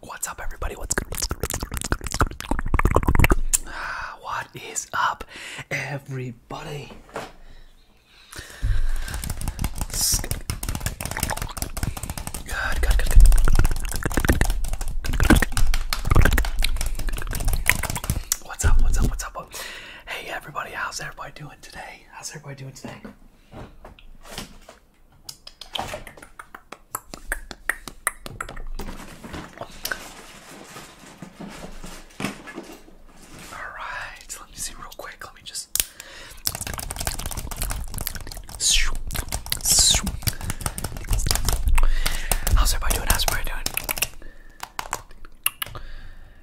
What's up, everybody? What's good? Ah, what's up, everybody? What's up? What's up? What's up? Hey, everybody! How's everybody doing today? How's everybody doing today? Alright, let me see real quick. Let me just. How's everybody doing? How's everybody doing?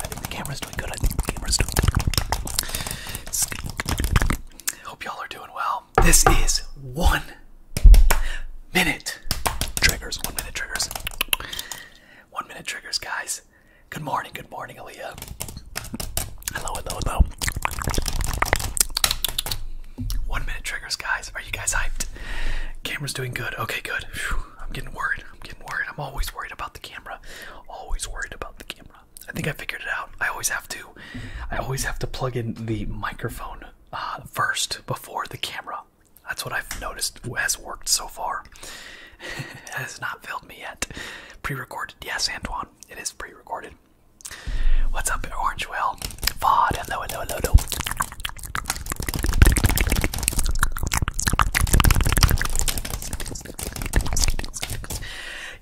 I think the camera's doing good. I think the camera's doing good. Hope y'all are doing well. This is one minute triggers. One minute triggers. One minute triggers, guys. Good morning. Good morning, Aaliyah. Hello, hello, hello. One minute triggers, guys. Are you guys hyped? Camera's doing good. Okay, good. I'm getting worried. I'm getting worried. I'm always worried about the camera. Always worried about the camera. I think I figured it out. I always have to. I always have to plug in the microphone uh, first before the camera. That's what I've noticed has worked so far. it has not failed me yet. Pre-recorded, yes, Antoine. It is pre-recorded. What's up, Orange Whale? Vod, hello, hello, hello, hello.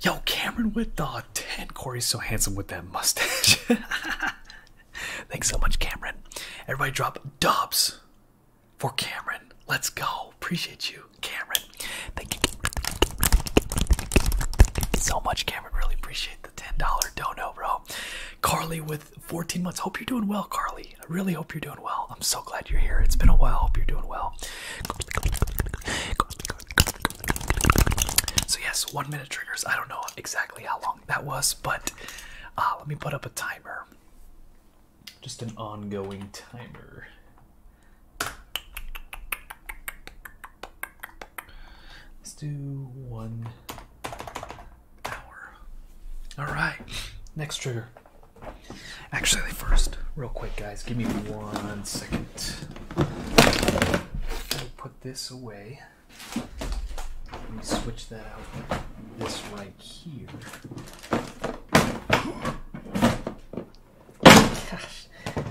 Yo, Cameron with the uh, 10. Corey's so handsome with that mustache. Thanks so much, Cameron. Everybody drop dubs for Cameron. Let's go. Appreciate you, Cameron. Thank you so much, Cameron. Really appreciate the $10 dono, bro. Carly with 14 months. Hope you're doing well, Carly. I really hope you're doing well. I'm so glad you're here. It's been a while. Hope you're doing well. So, yes, one minute triggers. I don't know exactly how long that was, but uh, let me put up a timer. Just an ongoing timer. Let's do one hour. All right, next trigger. Actually, first, real quick, guys, give me one second. I'll put this away. Let me switch that out. This right here. Gosh.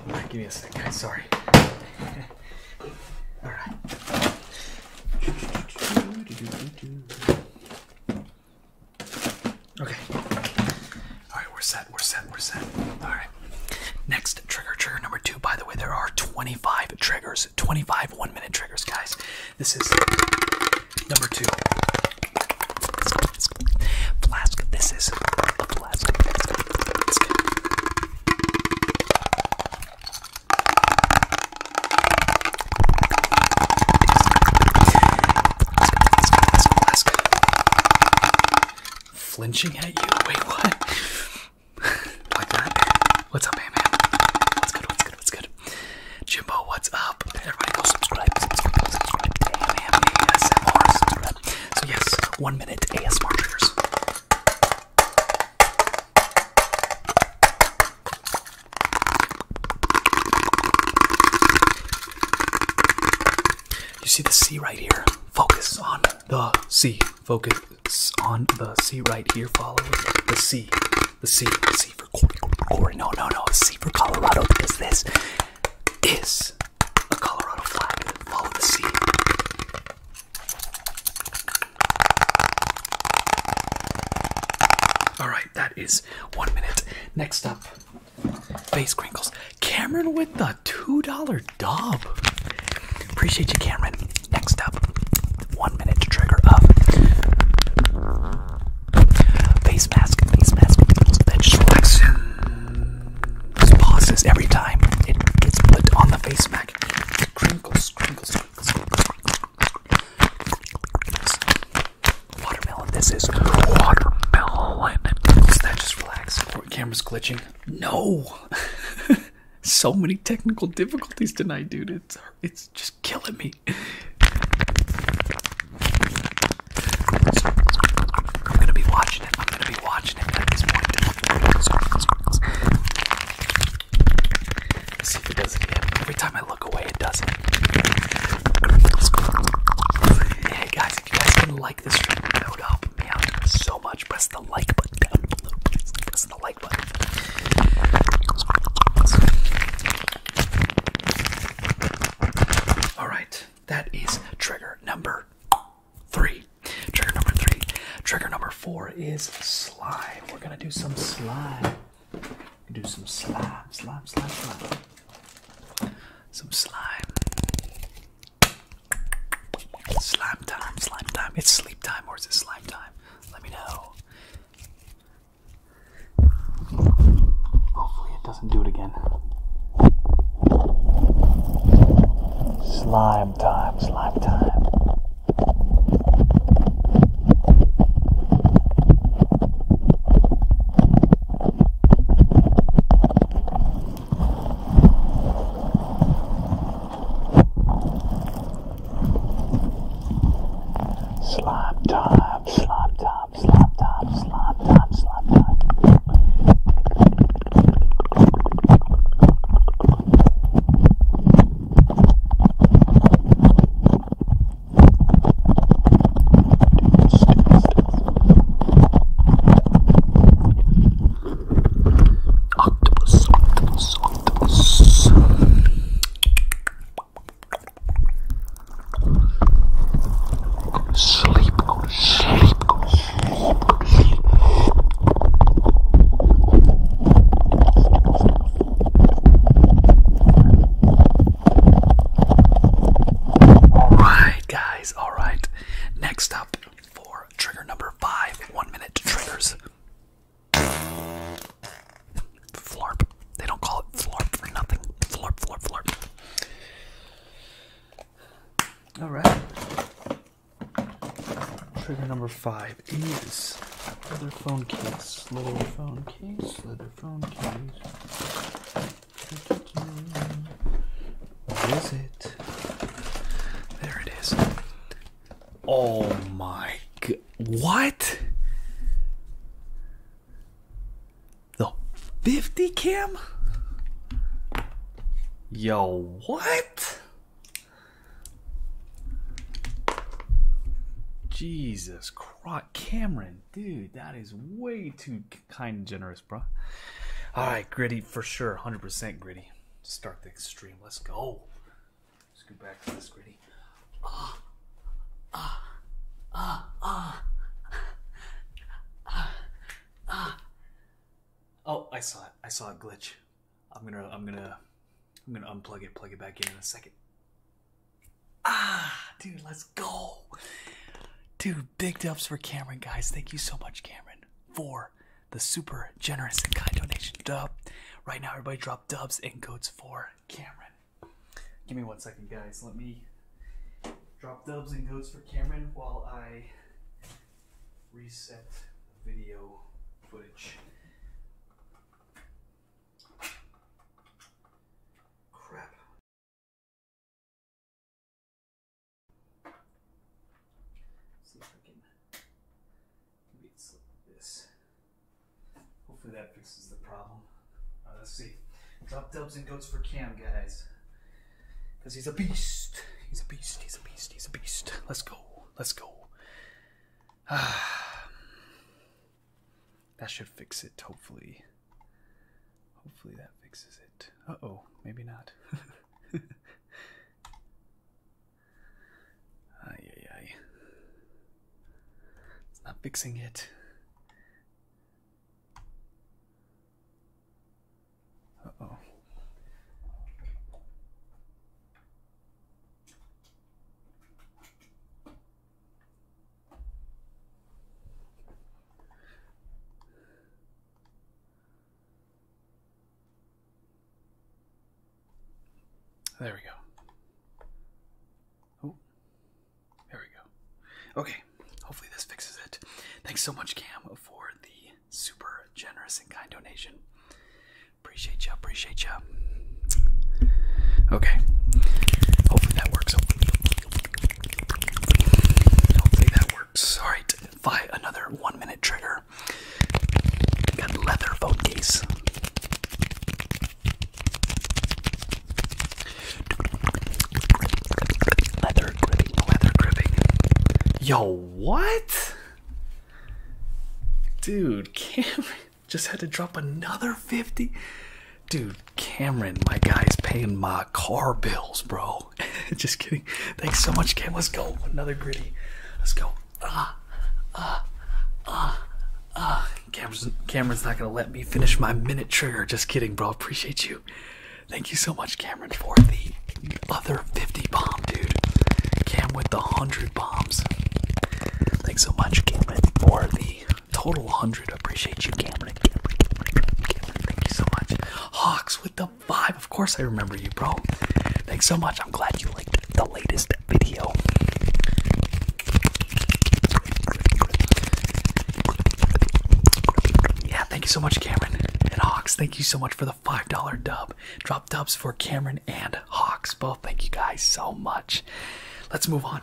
Right, give me a second, guys. Sorry. All right. Okay. Alright, we're set, we're set, we're set. Alright. Next trigger, trigger number two. By the way, there are 25 triggers, 25 one minute triggers, guys. This is number two. Flask, this is Flinching at you? Wait, what? What's up, man? What's good? What's good? What's good? Jimbo, what's up? Everybody go subscribe, subscribe, subscribe. ASMR, subscribe. So yes, one minute ASMR triggers. You see the C right here? Focus on the C. Focus on the C right here. Follow the C. The C. The C for Cory. Cory. No, no, no. C for Colorado because this is a Colorado flag. Follow the C. All right that is one minute. Next up, face crinkles. Cameron with the $2 dub. Appreciate you, Cameron. Next up, one minute to trigger up. Face mask, face mask, that just Pauses every time it gets put on the face mask. crinkles, crinkles, crinkles, crinkles. Watermelon, this is watermelon. Is that just relax? camera's glitching. No! so many technical difficulties tonight, dude. It's, it's just killing me. I'm gonna be watching it. I'm gonna be watching it Every time I away, it doesn't. Hey guys, if you guys can like this stream, that would help me out so much. Press the like button down below, please. Press the like button. Alright, that is trigger number three. Trigger number three. Trigger number four is slime. We're gonna do some slime do some slime, slime, slime, slime. Some slime. Slime time, slime time. It's sleep time or is it slime time? Let me know. Hopefully, it doesn't do it again. Slime time, slime time. Slap top, slap top, slap top, slap top, slap time. Octopus, octopus, octopus. Go to sleep, go to sleep, go to sleep, go to sleep. Alright, guys, alright. Next up for trigger number five one minute triggers. Flarp. They don't call it flarp for nothing. Flarp, flarp, flarp. Alright. Trigger number five is leather phone case. Leather phone case, leather phone case. Where is it? There it is. Oh my god. What? The 50 cam? Yo, what? Jesus Christ, Cameron dude, that is way too kind and generous, bro. All right, gritty for sure, hundred percent gritty. Start the extreme. Let's go. Let's go back to this gritty. Ah, ah, ah, ah, ah, ah. Oh, I saw it. I saw a glitch. I'm gonna, I'm gonna, I'm gonna unplug it, plug it back in in a second. Ah, dude, let's go. Dude, big dubs for Cameron, guys. Thank you so much, Cameron, for the super generous and kind donation dub. Right now, everybody drop dubs and goats for Cameron. Give me one second, guys. Let me drop dubs and goats for Cameron while I reset the video footage. Crap, See if I can read this. Hopefully that fixes the problem. Uh, let's see. Top dubs and goats for Cam, guys. Because he's a beast. He's a beast. He's a beast. He's a beast. Let's go. Let's go. Ah. That should fix it, hopefully. Hopefully that fixes it. Uh oh, maybe not. Ay, ay, ay. It's not fixing it. Uh oh. There we go. Oh, there we go. Okay, hopefully this fixes it. Thanks so much, Cam, for the super generous and kind donation. Appreciate you, appreciate you. Okay, hopefully that works. Hopefully that works. Alright, five another one minute trigger. Got leather phone case. Leather gripping, leather gripping. Yo, what? Dude, Cameron just had to drop another 50. Dude, Cameron, my guy's paying my car bills, bro. Just kidding. Thanks so much, Cam. Let's go. Another gritty. Let's go. Ah, ah, ah, ah. Cameron's, Cameron's not going to let me finish my minute trigger. Just kidding, bro. Appreciate you. Thank you so much, Cameron, for the other 50 bomb, dude. Cam with the 100 bombs. Thanks so much, Cameron, for the Total 100. Appreciate you, Cameron. Thank you so much. Hawks with the vibe. Of course, I remember you, bro. Thanks so much. I'm glad you liked the latest video. Yeah, thank you so much, Cameron and Hawks. Thank you so much for the $5 dub. Drop dubs for Cameron and Hawks. Both thank you guys so much. Let's move on.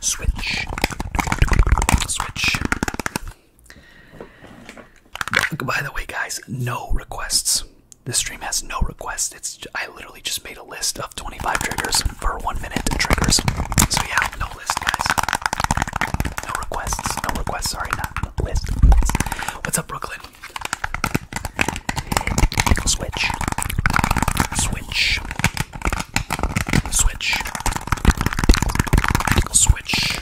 Switch. Switch. By the way, guys, no requests. This stream has no requests. It's I literally just made a list of 25 triggers for one minute triggers. So yeah, no list, guys. No requests. No requests. Sorry, not list. What's up, Brooklyn? Switch. Switch. Switch. Switch.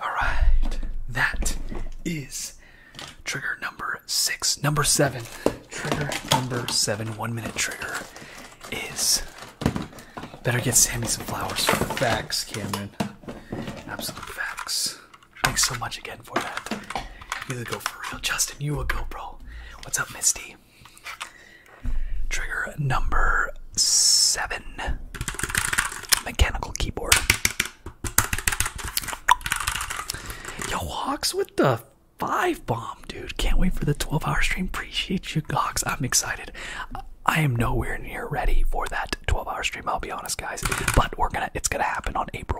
Alright. That is trigger number six. Number seven. Trigger number seven. One minute trigger is. Better get Sammy some flowers for the facts, Cameron. Absolute facts. Thanks so much again for that. You go for real, Justin. You a GoPro. What's up, Misty? Trigger number seven mechanical keyboard. Yo, Hawks with the five bomb, dude. Can't wait for the 12 hour stream. Appreciate you, Hawks. I'm excited. I am nowhere near ready for that 12 hour stream, I'll be honest, guys. But we're gonna, it's gonna happen on April.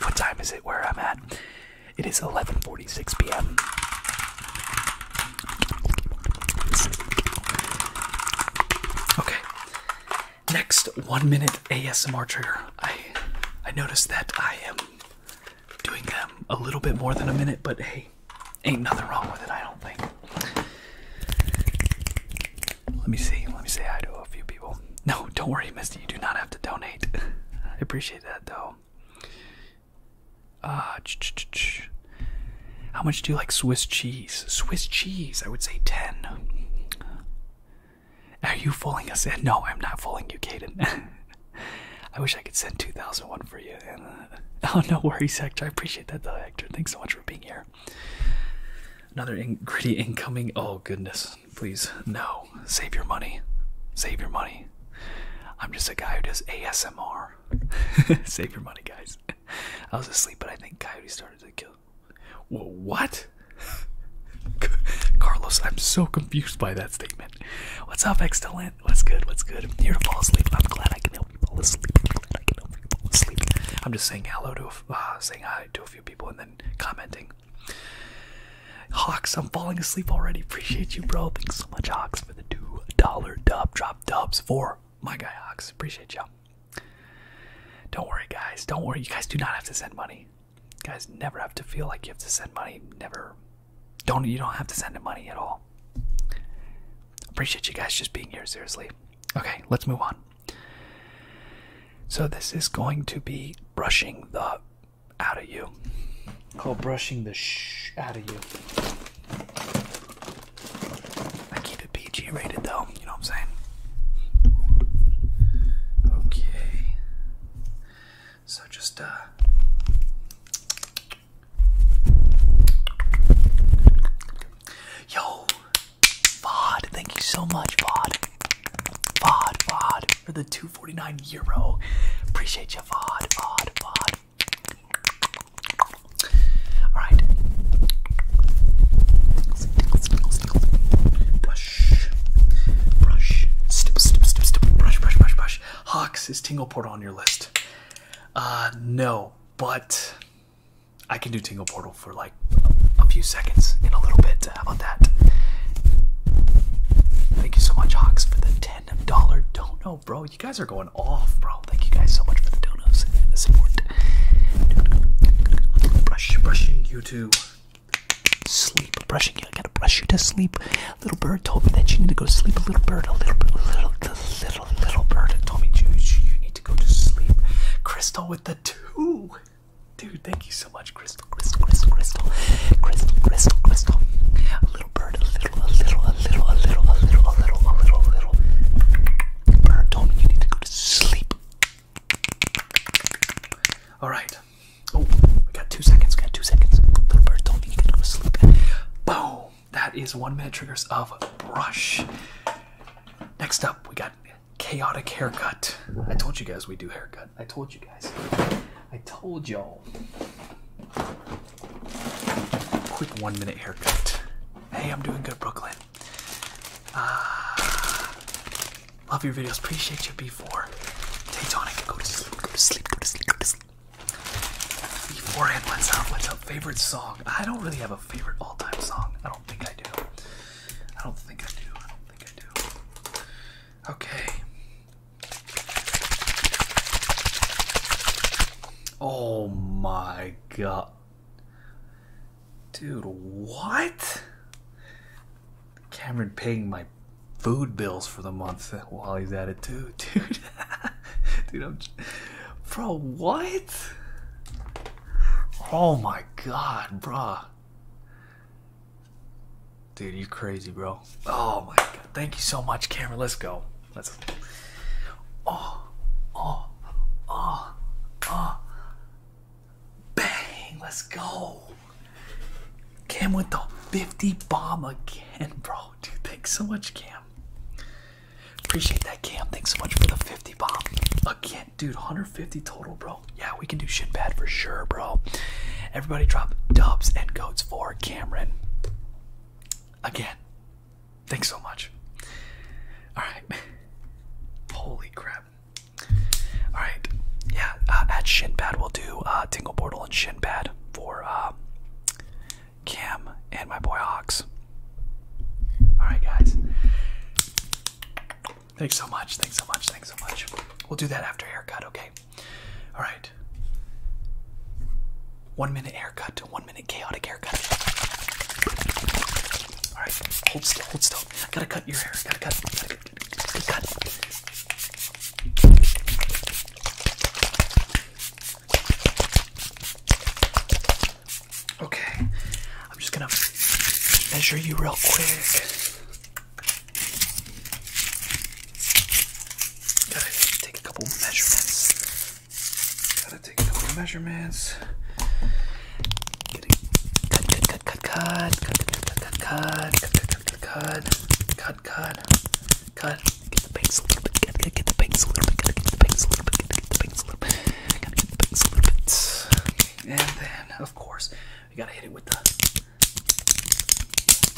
What time is it where I'm at? It is 11:46 p.m. Okay. Next 1 minute ASMR trigger. I I noticed that I am doing them a little bit more than a minute, but hey, ain't nothing wrong with it, I don't think. Let me see. Let me say hi to a few people. No, don't worry, Misty. You do not have to donate. I appreciate that, though. Uh, How much do you like Swiss cheese? Swiss cheese, I would say 10. Are you fooling us? No, I'm not fooling you, Caden. I wish I could send 2001 for you. Uh, oh, no worries, Hector. I appreciate that, though, Hector. Thanks so much for being here. Another in gritty incoming. Oh goodness, please no. Save your money. Save your money. I'm just a guy who does ASMR. Save your money, guys. I was asleep, but I think Coyote started to kill. Whoa, what? Carlos, I'm so confused by that statement. What's up, excellent? What's good? What's good? I'm here to fall asleep. I'm glad I can help you fall asleep. I'm glad I can help you fall asleep. I'm just saying hello to, a, uh, saying hi to a few people and then commenting. Hawks, I'm falling asleep already. Appreciate you, bro. Thanks so much, Hawks, for the two dollar dub drop dubs for my guy Hawks. Appreciate y'all. Don't worry, guys. Don't worry. You guys do not have to send money guys never have to feel like you have to send money. Never don't you don't have to send the money at all. Appreciate you guys just being here, seriously. Okay, let's move on. So this is going to be brushing the out of you. Called oh, brushing the shh out of you. I keep it PG rated though, you know what I'm saying? Okay. So just uh Yo VOD, thank you so much, VOD. VOD, VOD for the 249 euro. Appreciate you, VOD, VOD, VOD. Alright. Brush. Brush. Stip, Brush, brush, brush, brush. Hawks, is Tingle Portal on your list? Uh, no, but I can do Tingle Portal for like a few seconds in a little bit. How uh, about that? Thank you so much, Hawks, for the $10 dono, bro. You guys are going off, bro. Thank you guys so much for the donos and the support. Brush, brushing you too. sleep. Brushing I gotta brush you to sleep. Little bird told me that you need to go to sleep. A little bird, a little, little, little, little bird told me you, you need to go to sleep. Crystal with the two. Dude, thank you so much, Crystal, Crystal, Crystal, Crystal, Crystal, Crystal, Crystal. little bird, a little, a little, a little, a little, a little, a little, a little, a little. Bird told me you need to go to sleep. All right. Oh, we got two seconds. We got two seconds. Little bird told me he could go to sleep. Boom! That is one minute triggers of rush. Next up, we got chaotic haircut. I told you guys we do haircut. I told you guys. I told y'all. Quick one minute haircut. Hey, I'm doing good, Brooklyn. Uh, love your videos. Appreciate you, before. 4 go to sleep. Go to sleep. Go to sleep. Go to sleep. Beforehand, what's up? What's up? Favorite song? I don't really have a favorite all-time song. I don't think I do. I don't think I do. I don't think I do. Okay. Oh my god. Dude, what? Cameron paying my food bills for the month while he's at it too, dude. dude, I'm, bro, what? Oh my god, bro. Dude, you crazy, bro. Oh my god. Thank you so much, camera. Let's go. Let's Oh. Oh. Oh. Oh. Bang. Let's go. Cam with the 50 bomb again, bro dude, thanks so much, Cam. Appreciate that, Cam. Thanks so much for the 50 bomb. Again, dude, 150 total, bro. Yeah, we can do shit bad for sure, bro. Everybody drop dubs and goats for Cameron. Again, thanks so much. Alright. Holy crap. Alright. Yeah, uh, at Shinpad we'll do uh Tingle Portal and Shinpad for uh Cam and my boy Ox. Alright, guys. Thanks so much. Thanks so much. Thanks so much. We'll do that after haircut, okay? Alright. One minute haircut, to one minute chaotic haircut. Alright, hold still, hold still. I gotta cut your hair. I gotta cut. I gotta cut. I gotta cut. Okay, I'm just gonna measure you real quick. Gotta take a couple measurements. Gotta take a couple measurements. Cut, cut, cut, cut, cut, cut, cut, cut, cut, cut, cut, cut, cut, cut, cut, cut, cut, cut, Get the bangs a little bit. Get, get, the bangs a little bit. got get the bangs a little bit. got get the bangs a little bit. got get the bangs a little bit. And then, of course, we gotta hit it with the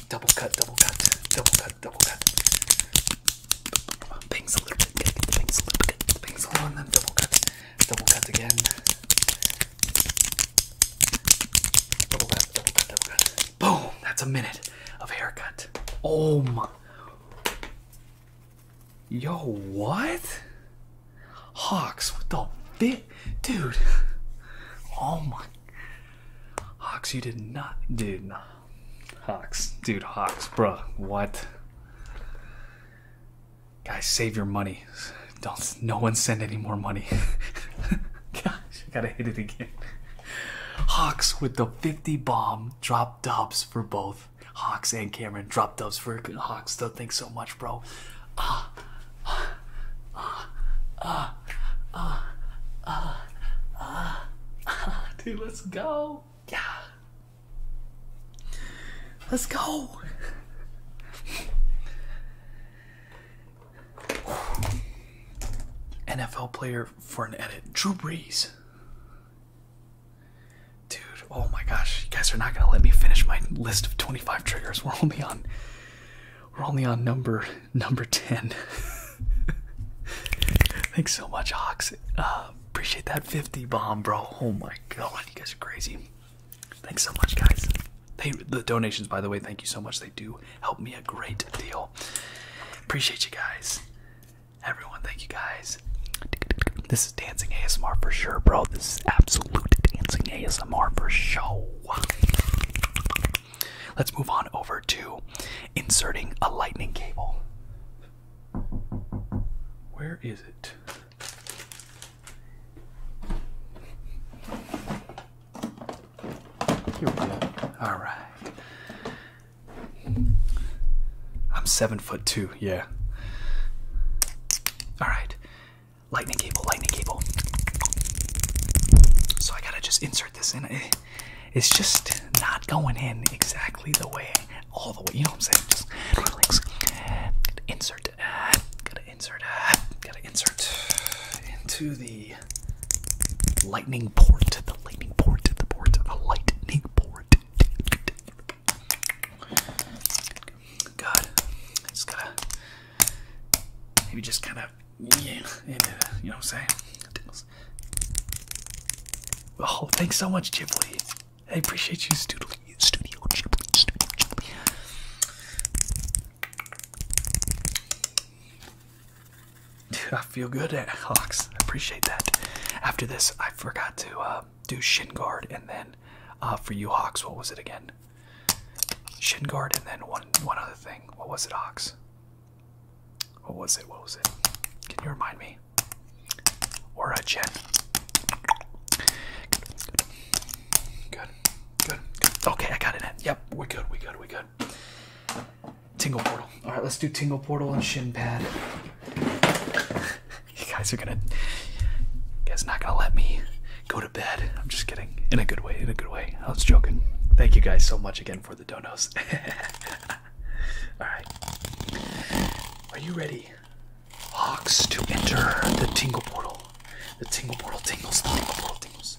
double cut, double cut, double cut, double cut. Bangs a little bit. got get the bangs a little bit. Get a little, and then double cut, double cut again. Double cut, Boom! That's a minute of haircut. Oh my. Yo, what? Hawks, what the fit? Dude. Oh my. Hawks, you did not. Dude. Hawks. Dude, Hawks, bro. What? Guys, save your money. Don't. No one send any more money. I gotta hit it again. Hawks with the 50 bomb drop dubs for both Hawks and Cameron. Drop dubs for Hawks. Don't think so much, bro. ah, ah, ah, ah, ah, ah, ah. Dude, let's go. Yeah. Let's go. NFL player for an edit. Drew Brees. Dude, oh my gosh, you guys are not gonna let me finish my list of 25 triggers. We're only on we're only on number number 10. Thanks so much, Hawks. Uh, appreciate that 50 bomb, bro. Oh my god, you guys are crazy. Thanks so much, guys. the donations, by the way, thank you so much. They do helped me a great deal. Appreciate you guys. Everyone, thank you guys. This is dancing ASMR for sure, bro. This is absolute dancing ASMR for sure. Let's move on over to inserting a lightning cable. Where is it? Here we go. All right. I'm seven foot two. Yeah. All right. Lightning cable. Lightning cable. So I gotta just insert this in. Eh, it's just not going in exactly the way, all the way. You know what I'm saying? Just Insert. Gotta insert. Uh, uh, gotta insert into the lightning port, the lightning port, the port, the lightning port. God, just gotta maybe just kind of yeah, uh, you know what I'm saying. Oh, thanks so much, Ghibli. I appreciate you, Studio Studio Ghibli. Studio Ghibli. I feel good eh, at Hawks. I appreciate that. After this, I forgot to uh, do shin guard and then uh, for you Hawks, what was it again? Shin guard and then one one other thing. What was it, Hawks? What was it? What was it? Can you remind me? Or a Jen? Good. Good. Good. Okay, I got it Yep, we good. We good. We good. Tingle Portal. All right, let's do Tingle Portal and Shin Pad. you guys are gonna, you guys not gonna let me go to bed. I'm just kidding. In a good way. In a good way. I was joking. Thank you guys so much again for the donos. All right. Are you ready, Hawks, to enter the Tingle Portal? The Tingle Portal tingles. The Tingle Portal tingles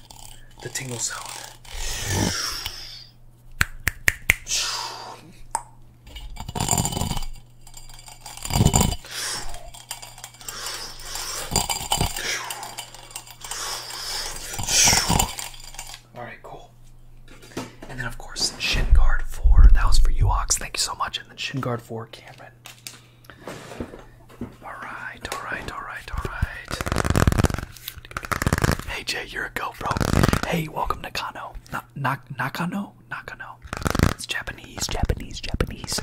the tingle sound. All right, cool. And then, of course, shin guard four. That was for you, Ox. Thank you so much. And then shin guard four, Cameron. All right, all right, all right, all right. Hey Jay, you're a go, bro. Hey, welcome to Kano. Na na Nakano? Nakano. It's Japanese, Japanese, Japanese.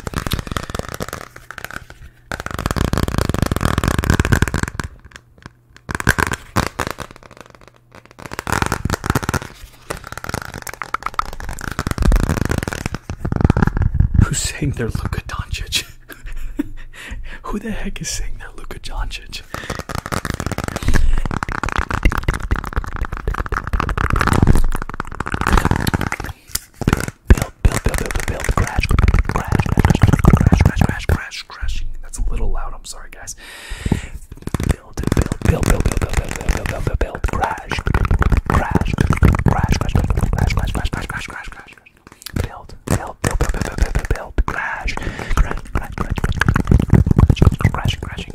Who's saying they're Luka Doncic? Who the heck is saying that, Luka Doncic? Build, build, build, build, build, crash, crash, crash, crash, crash, crash, crash. That's a little loud. I'm sorry, guys. Build, build, build, build, build, build, build, build, build, build, crash, crash, crash, crash, crash, crash, crash, crash, crash, crash, crash. Build, build, build, build, build, build, build, build. Crash, crash, crash, crash, crash, crash, crashing.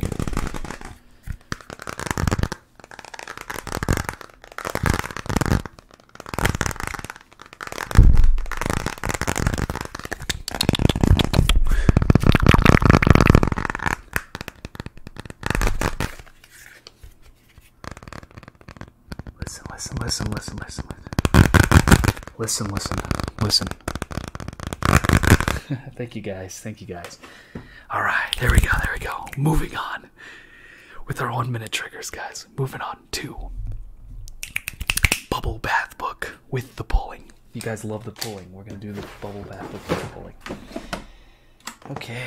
Listen, listen, listen, listen, listen, listen. Listen, listen, listen. Thank you guys. Thank you guys. All right. There we go. There we go. Moving on with our one minute triggers, guys. Moving on to Bubble Bath Book with the pulling. You guys love the pulling. We're going to do the Bubble Bath Book with the pulling. Okay.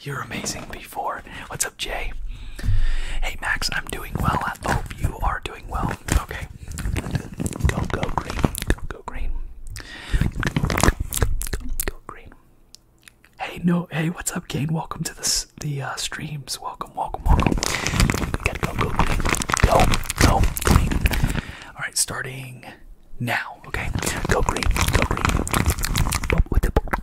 You're amazing, B4. Let's Hey, Max, I'm doing well. I hope you are doing well. Okay. Go, go green. Go, go green. Go, go green. Hey, no. Hey, what's up, Kane? Welcome to the the uh, streams. Welcome, welcome, welcome. go, go green. Go, go green. All right, starting now. Okay. Go green. Go green.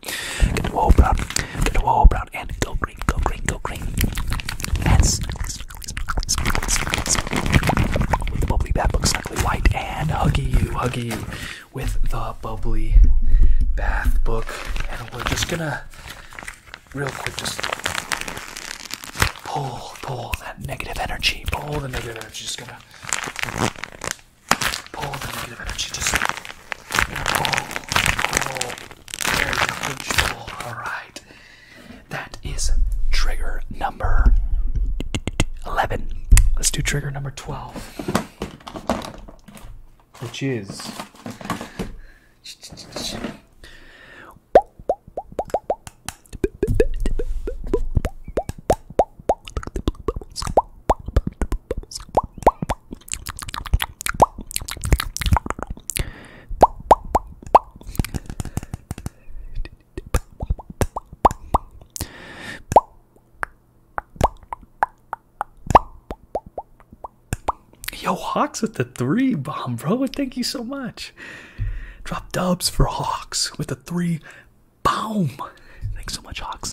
brown. Get the wall brown. Get the wall brown and go green, go green, go green. And With the bubbly bath book, snuggly white, and huggy you, huggy you with the bubbly bath book. And we're just gonna real quick just pull, pull that negative energy, pull the negative energy, just gonna pull the negative energy just you pull, pull. Very control. Alright. That is trigger number 11. Let's do trigger number 12. Cheers. Yo, Hawks with the three bomb, bro. Thank you so much. Drop dubs for Hawks with the three boom! Thanks so much, Hawks.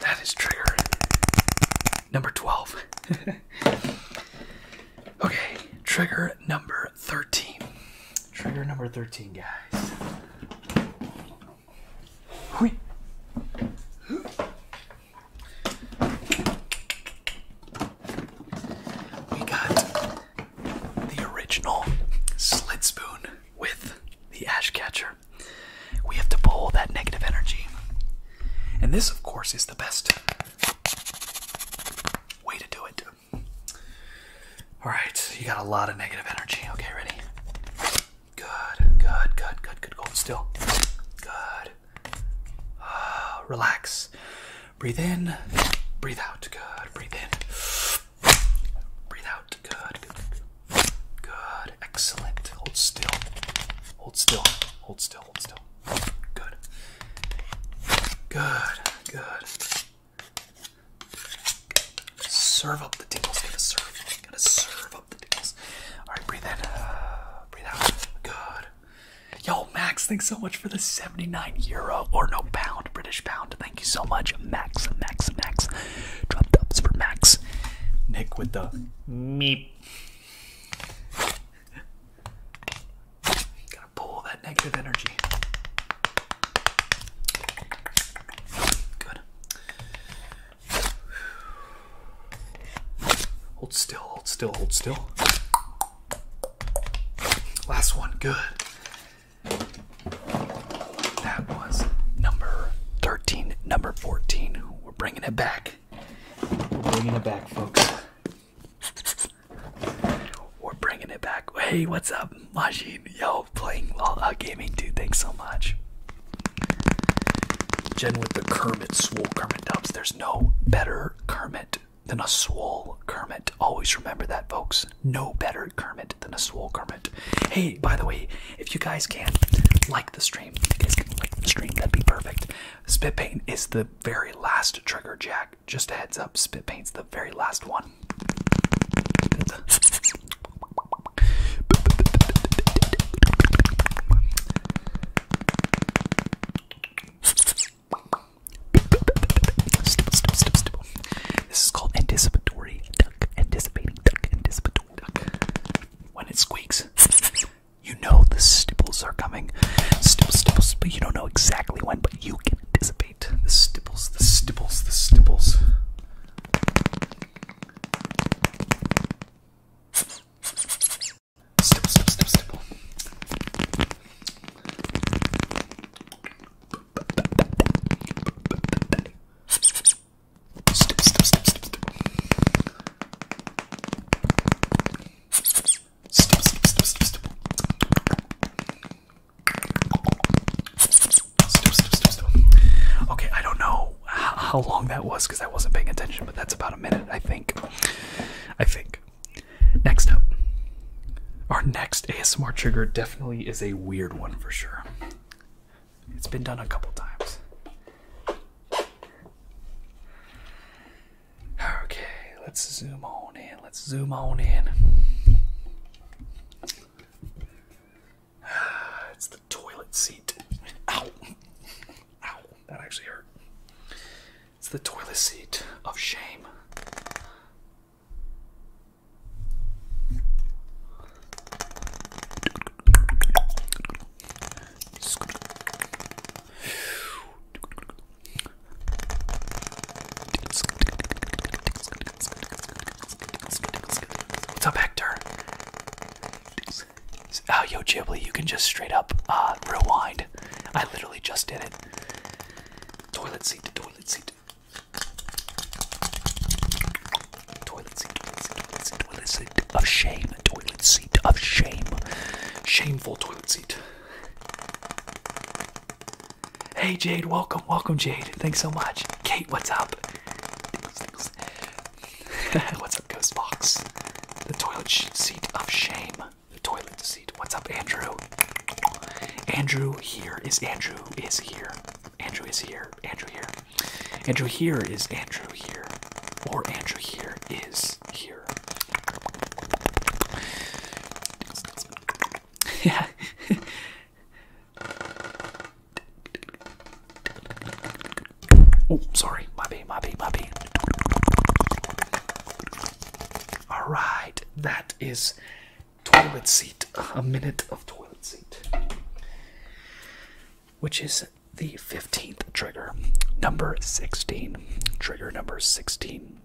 That is trigger number 12. okay, trigger number 13. Trigger number 13, guys. We got the original slit spoon with the ash catcher. We have to pull that negative energy. And this, of course, is the best way to do it. Alright, you got a lot of negative energy. Okay, ready? Good, good, good, good, good. still. Good. Ah, relax. Breathe in, breathe out. Good. Breathe in, Breathe out. Good. Good. Good. Excellent. Hold still. Hold still. Hold still. Hold still. Good. Good. Good. Serve up the tingles. Gotta serve. Gotta serve up the tingles. Alright, breathe in. Uh, breathe out. Good. Yo, Max, thanks so much for the 79 euro or no pound, British pound. Thank you so much, Max, Max, Max. Drop dubs for Max. Nick with the meep. Gotta pull that negative energy. Good. Hold still, hold still, hold still. Last one, good. That was number 13, number 14. We're bringing it back. We're bringing it back, folks. We're bringing it back. Hey, what's up, Majin? Yo, playing a uh, Gaming, dude. Thanks so much. Jen with the Kermit, swol, Kermit dubs. There's no better Kermit than a swol Kermit. Always remember that, folks. No better Kermit than a swole hermit. Hey, by the way, if you guys can like the stream, guys can like the stream, that'd be perfect. Spit paint is the very last trigger jack. Just a heads up, spit paint's the very last one. This is called anticipatory duck, anticipating duck, anticipating duck. When it squeaks, you know the stiples are coming. Stipples, stipples, but you don't know exactly when, but you can anticipate the stiples, the stiples, the stiples. stipple, stipple, stipple. Step, step, step, step, step. Step, step, step, step, step. Step, step, step, step. Okay, I don't know how long that was because I wasn't paying attention, but that's about a minute, I think. I think. Next up, our next ASMR trigger definitely is a weird one for sure. It's been done a couple times. Okay, let's zoom on in. Let's zoom on in. It's the toilet seat. Ow. Ow. That actually hurt. It's the toilet seat of shame. What's up, Hector? Oh, yo, Jibby, you can just straight up uh, rewind. I literally just did it. Toilet seat toilet seat. Toilet seat, toilet seat, toilet seat, toilet seat of shame. Toilet seat of shame. Shameful toilet seat. Hey Jade, welcome, welcome Jade. Thanks so much. Kate, what's up? what's up, Ghost Box? The toilet seat of shame. The toilet seat. What's up, Andrew? Andrew here is Andrew is here. Andrew is here. Andrew here. Andrew here is Andrew here. Or Andrew here is here. Yeah. oh, sorry. My bee, my bee, my bee. All right. That is toilet seat. A minute of toilet seat. Which is the 15th trigger. Number 16. Trigger number 16.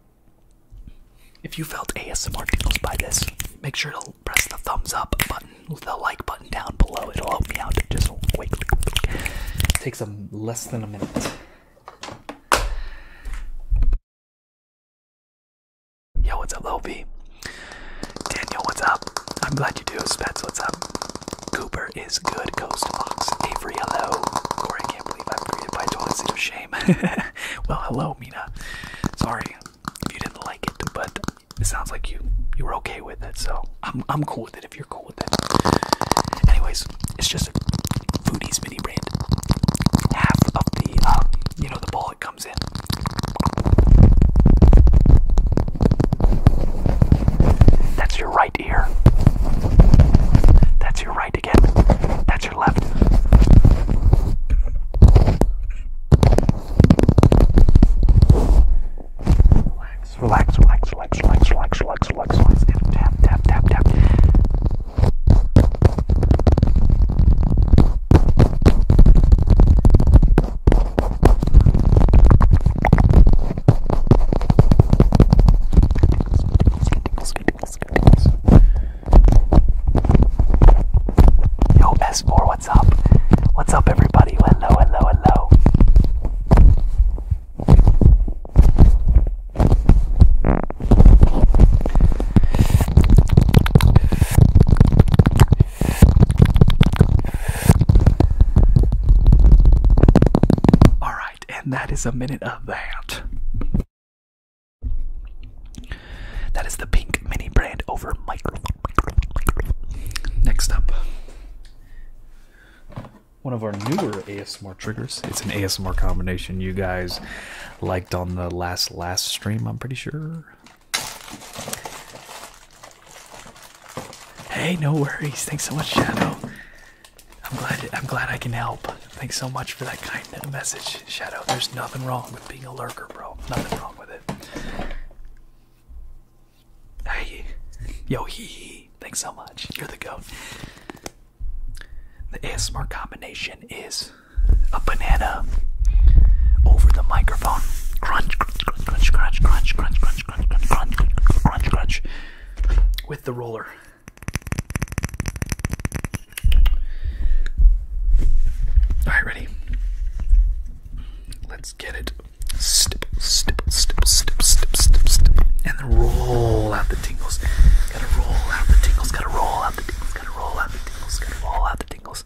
If you felt ASMR tingles by this, make sure to press the thumbs up button, the like button down below. It'll help me out just quickly. It takes a, less than a minute. Yo, what's up, LB? Daniel, what's up? I'm glad you do. Spets, what's up? Cooper is good. Coast Fox. Avery, hello. Corey, I can't believe I'm greeted toilet seat of shame. well, hello, Mina. Sorry if you didn't like it, but it sounds like you you were okay with it, so I'm I'm cool with it if you're cool with it. Anyways, it's just a foodies mini brand. Half of the um, you know the ball it comes in that's your right ear. That's your right again. That's your left. Relax, relax, relax, relax, relax, relax, relax, relax, relax, and tap, tap, tap, tap. Yo, S4, what's up? What's up, everybody? Hello, hello, hello. All right, and that is a minute of that. That is the pink mini brand over microphone. Next up, one of our newer ASMR triggers. It's an ASMR combination you guys liked on the last last stream, I'm pretty sure. Hey, no worries. Thanks so much, Shadow. I'm glad I'm glad I can help. Thanks so much for that kind of message, Shadow. There's nothing wrong with being a lurker, bro. Nothing wrong with it. Hey, yo, hee hee. Thanks so much. You're the goat. The ASMR combination is a banana over the microphone. Crunch, crunch, crunch, crunch, crunch, crunch, crunch, crunch, crunch, crunch, crunch, crunch, with the roller. All right, ready? Let's get it. Stip, stip, stip, stip, stip, stip, stip, and roll out the tingles. Gotta roll out the tingles. Gotta roll out the tingles. Gotta roll out the tingles. Gotta roll out the tingles.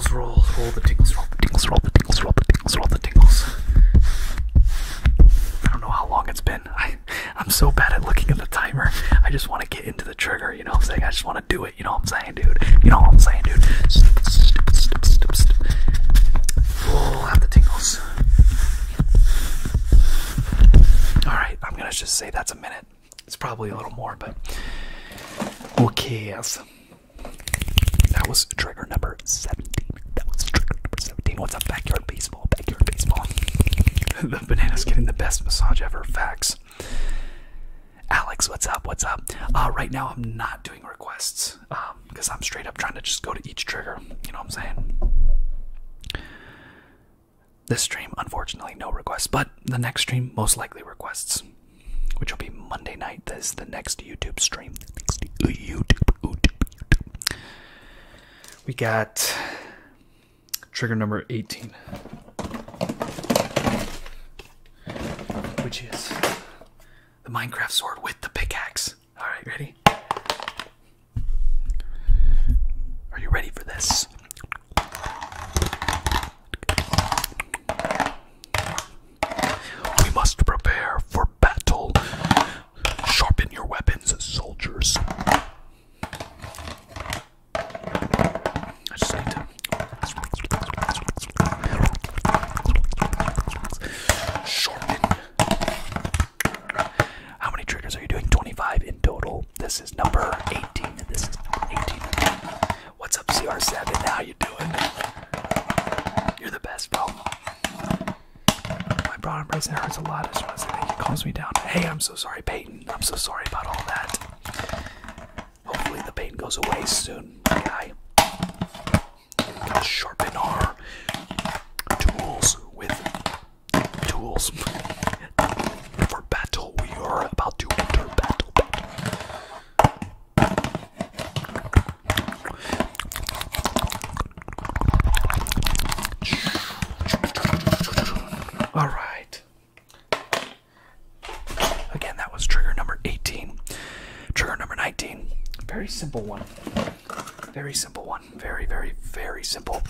tingles roll, roll the tingles, roll the tingles, roll the tingles, roll the tingles, roll the tingles. I don't know how long it's been. I, I'm so bad at looking at the timer. I just want to get into the trigger, you know what I'm saying? I just want to do it, you know what I'm saying, dude? You know what I'm saying, dude? Stip, stip, stip, stip, stip. Roll out the tingles. Alright, I'm going to just say that's a minute. It's probably a little more, but who cares? That was trigger number 17. That was trigger number 17. What's up, backyard baseball? Backyard baseball. the banana's getting the best massage ever. Facts. Alex, what's up? What's up? Uh, right now, I'm not doing requests because um, I'm straight up trying to just go to each trigger. You know what I'm saying? This stream, unfortunately, no requests, but the next stream, most likely requests which will be Monday night. This is the next YouTube stream. YouTube. We got trigger number 18, which is the Minecraft sword with the pickaxe. All right, ready? Are you ready for this? We must prepare for battle. Sharpen your weapons, soldiers. I sharpen. How many triggers are you doing? 25 in total. This is number 18. This is 18. What's up, CR7? How you are the best, bro. My broad embrace hurts a lot. I just want to say me down. Hey, I'm so sorry, Peyton. I'm so sorry about all that. Hopefully the pain goes away soon, guy. sharpen our tools with tools. For battle, we are about to enter battle. All right. Again, that was trigger number 18. Trigger number 19. Very simple one. Very simple one. Very, very, very simple.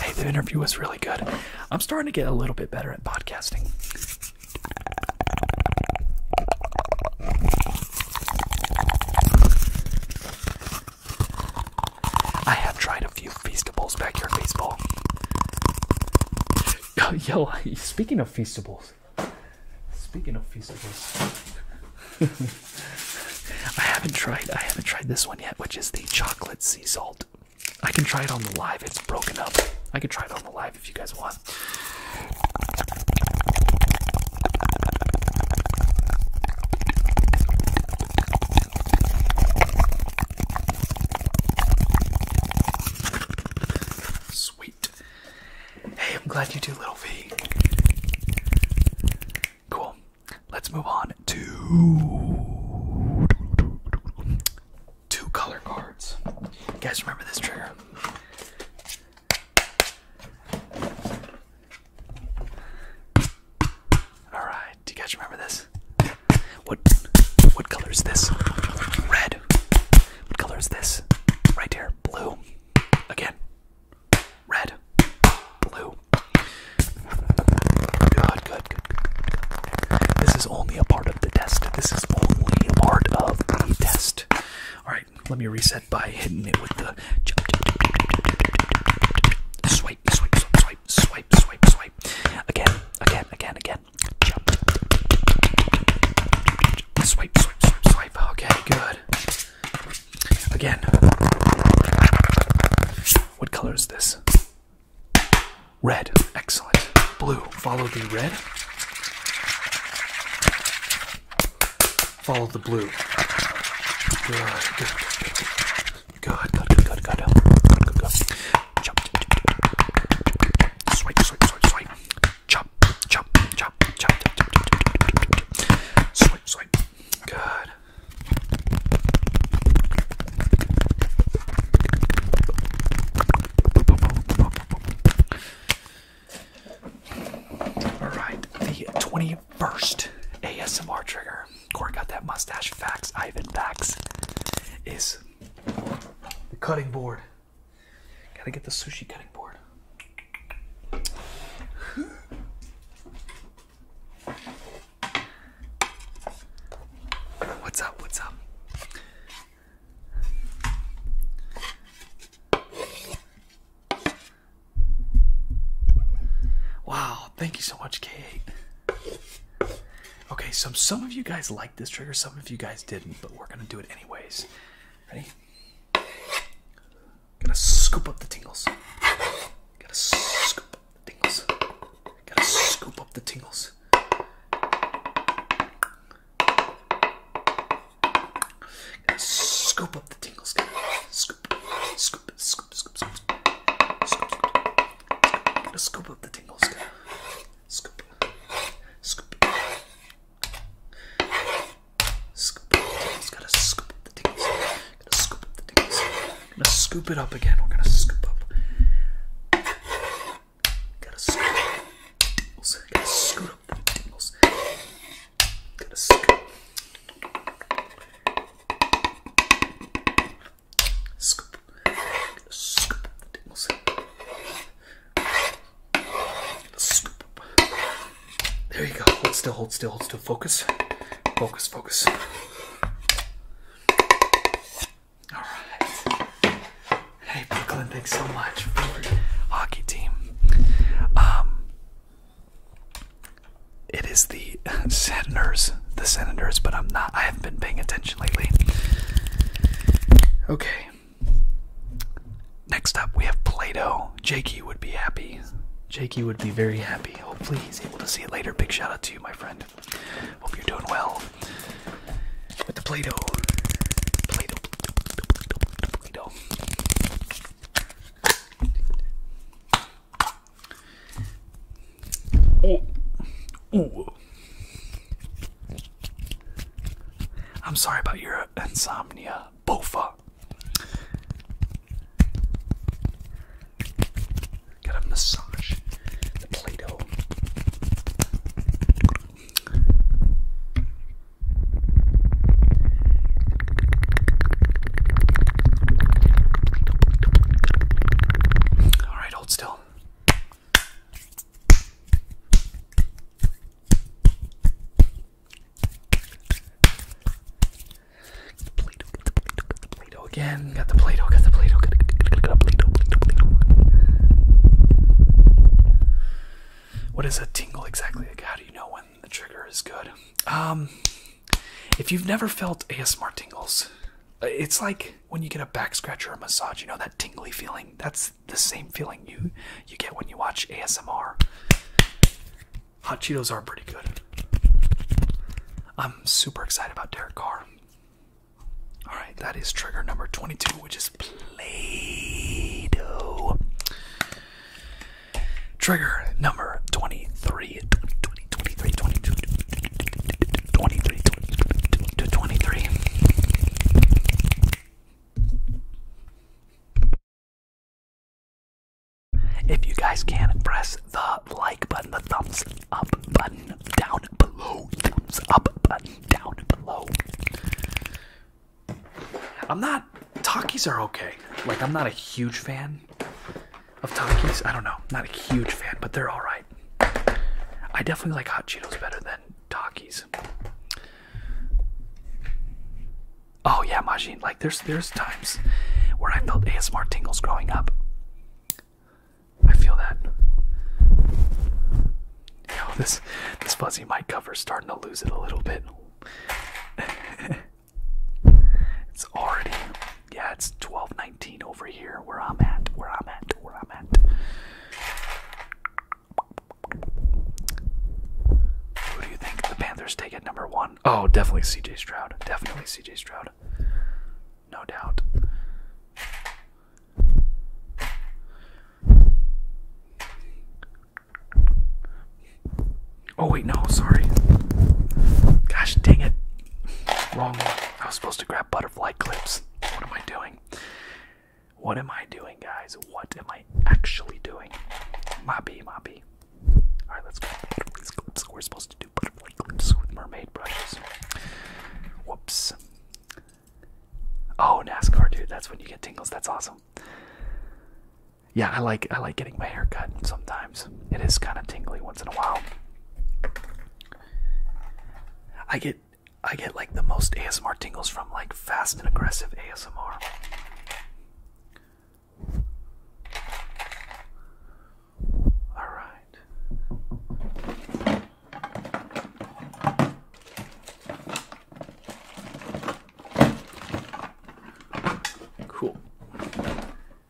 Hey, the interview was really good. I'm starting to get a little bit better at podcasting. I have tried a few feastables backyard baseball. Yo, speaking of feastables, speaking of feastables, I haven't tried I haven't tried this one yet, which is the chocolate sea salt. I can try it on the live, it's broken up. I can try it on the live if you guys want. Sweet. Hey, I'm glad you do, little V. Cool. Let's move on to two color cards. You guys remember this trick? Alright, do you guys remember this? What what color is this? Red. What color is this? Right here. Blue. Again red, blue. Good, good, good, This is only a part of the test. This is only a part of the test. Alright, let me reset by hitting it with the swipe, swipe, swipe, swipe, swipe, swipe. Again, again, again, again. Jump. Swipe, swipe, swipe, swipe. Okay, good. Again. What color is this? Red. Excellent. Blue. Follow the red. Follow the blue. Good. Good. Good. Good. Good. Good. Good. Good. Good. Good. Chop. Swipe. Swipe. Swipe. Swipe. Chop. Chop. Chop. Chop. Chop. Chop. Swipe. Swipe. Good. All right, the 21st ASMR trigger. Corey got that mustache facts. Ivan facts is the cutting board. Gotta get the sushi cutting board. What's up? What's up? Wow, thank you so much, Kate. Okay, so some of you guys liked this trigger, some of you guys didn't, but we're gonna do it anyways. Ready? Gotta scoop up the tingles. Gotta scoop up the tingles. Gotta scoop up the tingles. Gotta scoop up the tingles. Gotta scoop, scoop, scoop, scoop, scoop, scoop, scoop. Gotta scoop up the tingles. Gotta scoop, scoop. Scoop the tingles. Gotta scoop up the tingles. Gotta scoop up the tingles. Gonna scoop it up again. We're gonna scoop up. Gotta scoop up the tingles. Gotta scoop up the tingles. Gotta scoop. Scoop. Gotta scoop up the tingles. Gotta scoop up. There you go. Hold still, hold still, hold still. Focus. Focus, focus. Alright. Hey Brooklyn, thanks so much for your hockey team. Um It is the Senators. The Senators, but I'm not I haven't been paying attention lately. Okay. Next up we have Play-Doh. Jakey would be happy. Jakey would be very happy. Hopefully, he's able to see it later. Big shout out to you, my friend. Hope you're doing well with the Play Doh. Play Doh. Play Doh. Oh. Ooh. I'm sorry about your insomnia, Bofa. Gotta massage the Play Doh. Alright, hold still play again. Got the play got the play got the play is a tingle exactly? Like, how do you know when the trigger is good? Um, if you've never felt ASMR tingles, uh, it's like when you get a back scratch or a massage. You know that tingly feeling. That's the same feeling you you get when you watch ASMR. Hot Cheetos are pretty good. I'm super excited about Derek Carr. All right, that is trigger number 22, which is Play Doh. Trigger number 23. 20, 20, 23, 22, 23, 22, 23. If you guys can, press the like button, the thumbs up button down below, thumbs up button down below. I'm not, Talkies are okay. Like, I'm not a huge fan of talkies. I don't know, not a huge fan, but they're alright. I definitely like Hot Cheetos better than talkies. Oh, yeah, Majin like there's there's times where I felt ASMR tingles growing up. I feel that. You this this fuzzy mic cover's starting to lose it a little bit. it's already yeah, it's 1219 over here where I'm at, where I'm at, where I'm at. Who do you think the Panthers take at number one? Oh, definitely CJ Stroud. Definitely CJ Stroud. No doubt. Oh, wait, no, sorry. Gosh dang it. Wrong one. I was supposed to grab butterfly clips. What am I doing? What am I doing, guys? What am I actually doing? My B, my B. Alright, let's go. These clips. We're supposed to do butterfly clips with mermaid brushes. Whoops. Oh, NASCAR, dude. That's when you get tingles. That's awesome. Yeah, I like I like getting my hair cut sometimes. It is kind of tingly once in a while. I get I get like the most ASMR tingles from like fast and aggressive ASMR. All right. Cool.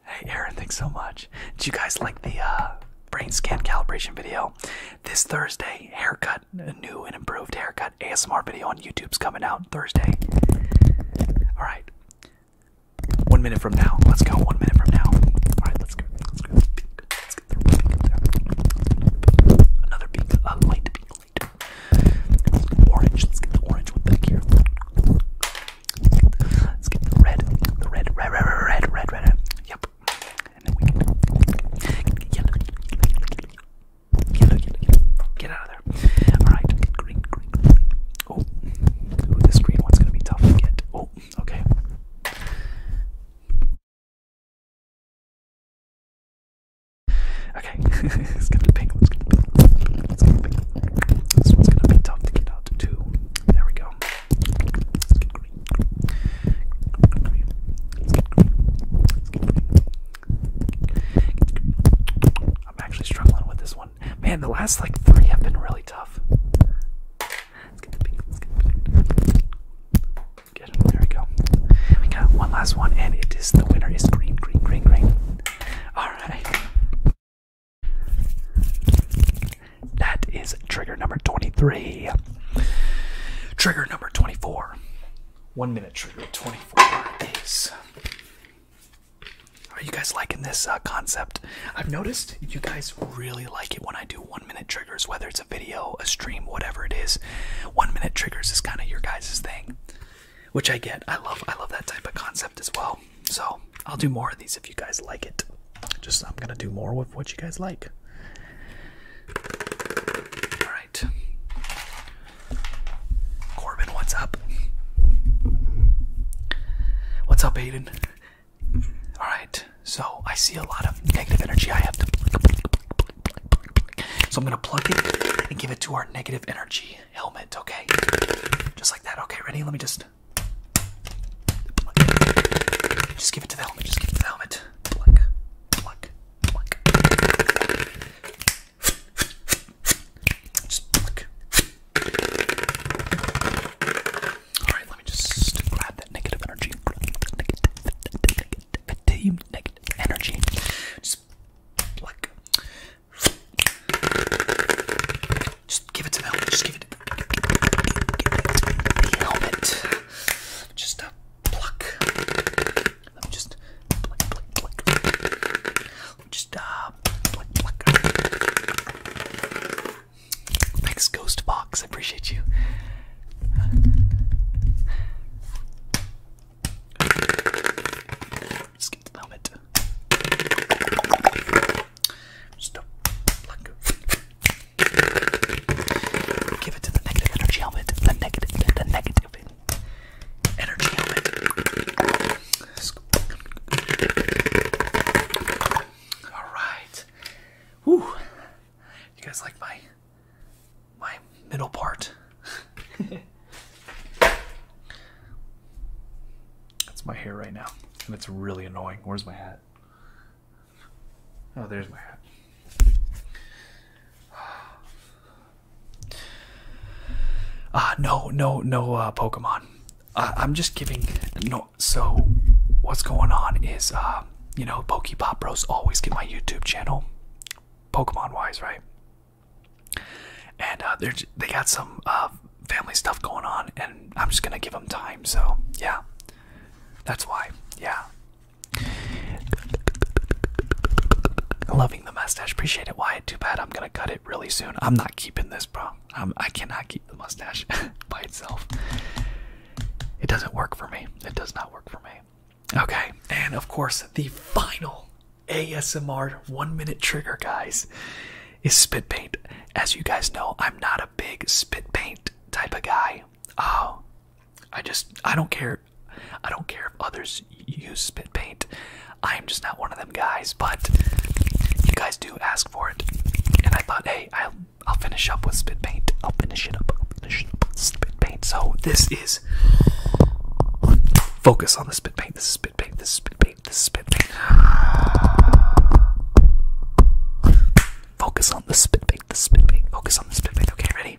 Hey, Aaron, thanks so much. Do you guys like the uh, brain scan calibration video? This Thursday, haircut, a new and improved haircut ASMR video on YouTube's coming out Thursday. All right. One minute from now. Let's go. One minute from now. Alright, let's go. Let's go. Another pink. Uh, light pink. Light. Orange. Let's get the orange one back here. Let's get the red. The red. Red, red, red, red, Yep. And then we can yellow. Yellow, yellow, yellow. Get out of there. Alright. green, green. Oh, this green one's gonna be tough to get. Oh, okay. Okay, it's gonna be pink. It's gonna be pink. This one's gonna be tough to get out too. There we go. I'm actually struggling with this one one. Man, the last like three have been really tough. Let's get the pink. Let's get the pink. Good. There we go. We got one last one, and it is the winner is green, green, green, green. All right. That is trigger number 23. Trigger number 24. One minute trigger 24 is are you guys liking this uh, concept? I've noticed you guys really like it when I do one minute triggers, whether it's a video, a stream, whatever it is. One minute triggers is kind of your guys' thing, which I get. I love, I love that type of concept as well. So I'll do more of these if you guys like it. Just I'm gonna do more with what you guys like. All right, Corbin, what's up? What's up, Aiden? Alright, so I see a lot of negative energy. I have to. So I'm going to plug it and give it to our negative energy helmet, okay? Just like that. Okay, ready? Let me just. Just give it to the helmet. Just give it to the helmet. Alright, let me just grab that negative energy. Negative, negative energy. Just like. Just give it to the helmet. Just give it, give the helmet. Just a uh, pluck. Let me just pluck, pluck, pluck. just uh, pluck. Thanks, Ghost Box. I appreciate you. Just get the helmet. Stop. Give it to the negative energy helmet. The negative, the negative energy helmet. All right. Whew. You guys like my my middle part? That's my hair right now, and it's really annoying. Where's my hat? Oh, there's my hat. Ah, no, no, no uh, Pokemon. I'm just giving no. So what's going on is, uh, you know, Pokepop Bros always get my YouTube channel, Pokemon wise, right? And uh, they they got some uh, family stuff going on, and I'm just gonna give them time. So yeah, that's why. Yeah. Loving the mustache, appreciate it. Why? Too bad I'm gonna cut it really soon. I'm not keeping this, bro. Um, I cannot keep the mustache by itself. It doesn't work for me. It does not work for me. Okay, and of course, the final ASMR one minute trigger, guys, is spit paint. As you guys know, I'm not a big spit paint type of guy. Oh, I just, I don't care. I don't care if others use spit paint. I am just not one of them guys, but you guys do ask for it. And I thought, hey, I'll I'll finish up with spit paint. I'll finish it up. I'll finish it up spit paint. So this is focus on the spit paint. This is spit paint. This is spit paint. This is spit paint. Focus on the spit paint. The spit paint. Focus on the spit paint. Okay, ready?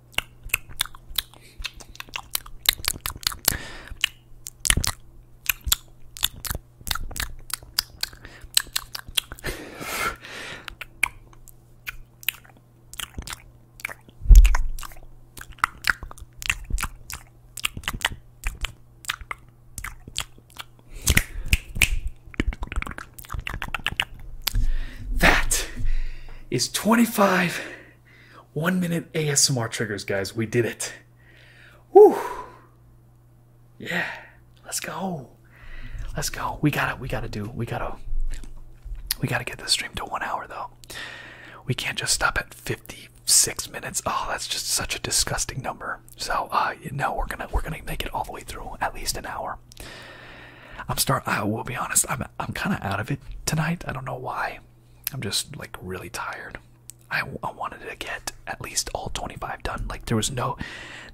That is 25 one minute ASMR triggers, guys. We did it. Woo! Yeah, let's go. Let's go. We gotta, we gotta do, we gotta, we gotta get this stream to one hour though. We can't just stop at 56 minutes. Oh, that's just such a disgusting number. So, uh, you know, we're gonna, we're gonna make it all the way through at least an hour. I'm start. I will be honest. I'm I'm kind of out of it tonight. I don't know why. I'm just like really tired. I, I wanted to get at least all 25 done. Like there was no,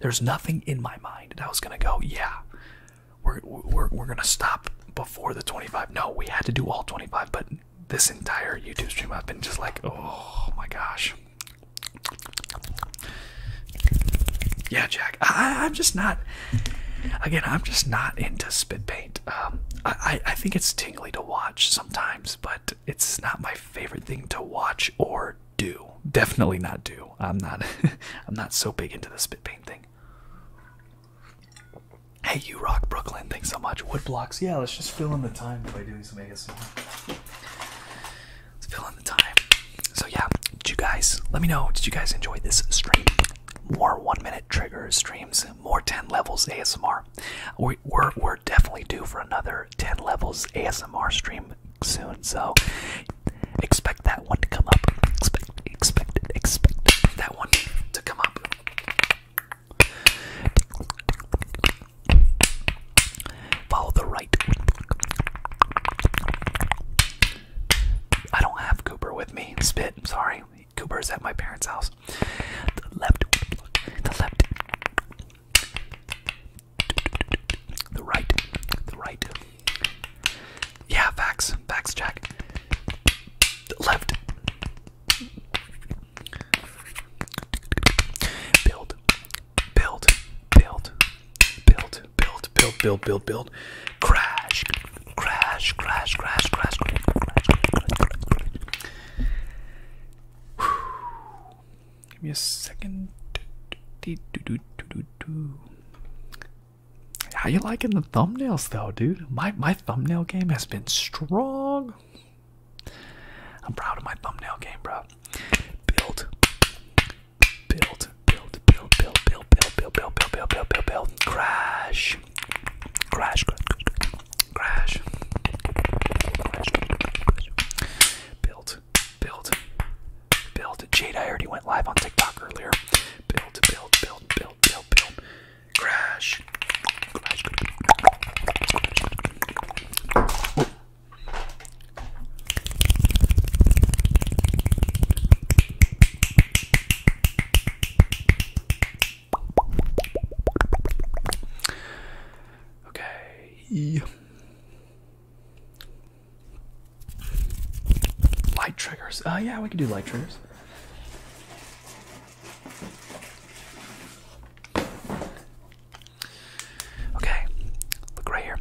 there's nothing in my mind that I was gonna go. Yeah, we're we're we're gonna stop before the 25. No, we had to do all 25. But this entire YouTube stream, I've been just like, oh my gosh. Yeah, Jack. I, I'm just not. Again, I'm just not into spit um, I, think it's tingly to watch sometimes, but it's not my favorite thing to watch or do. Definitely not do. I'm not. I'm not so big into the spit paint thing. Hey, you rock Brooklyn. Thanks so much. Woodblocks. Yeah, let's just fill in the time by doing some ASMR. Let's fill in the time. So yeah, did you guys? Let me know. Did you guys enjoy this stream? more one minute trigger streams, more 10 levels ASMR. We, are we're definitely due for another 10 levels ASMR stream soon, so expect that one to come up. Expect, expect, expect that one to come up. Follow the right. I don't have Cooper with me. Spit, I'm sorry. Cooper's at my parents' house. The left, the left, the right, the right. Yeah, facts, facts, Jack. The left. Build, build, build, build, build, build, build, build, build, Crash, crash, crash, crash, crash, crash, crash, Give me a second. How you liking the thumbnails though, dude? My my thumbnail game has been strong. I'm proud of my thumbnail game, bro. Build, build, build, build, build, build, build, build, build, build, build, build, build, build. Crash, crash, crash, crash, crash, crash, crash. Build, build, build. Jade, I already went live on TikTok earlier. Build, build, build, build, build, build. Crash, crash, crash. Okay. Light triggers. Oh, yeah, we can do light triggers. Okay, look right here.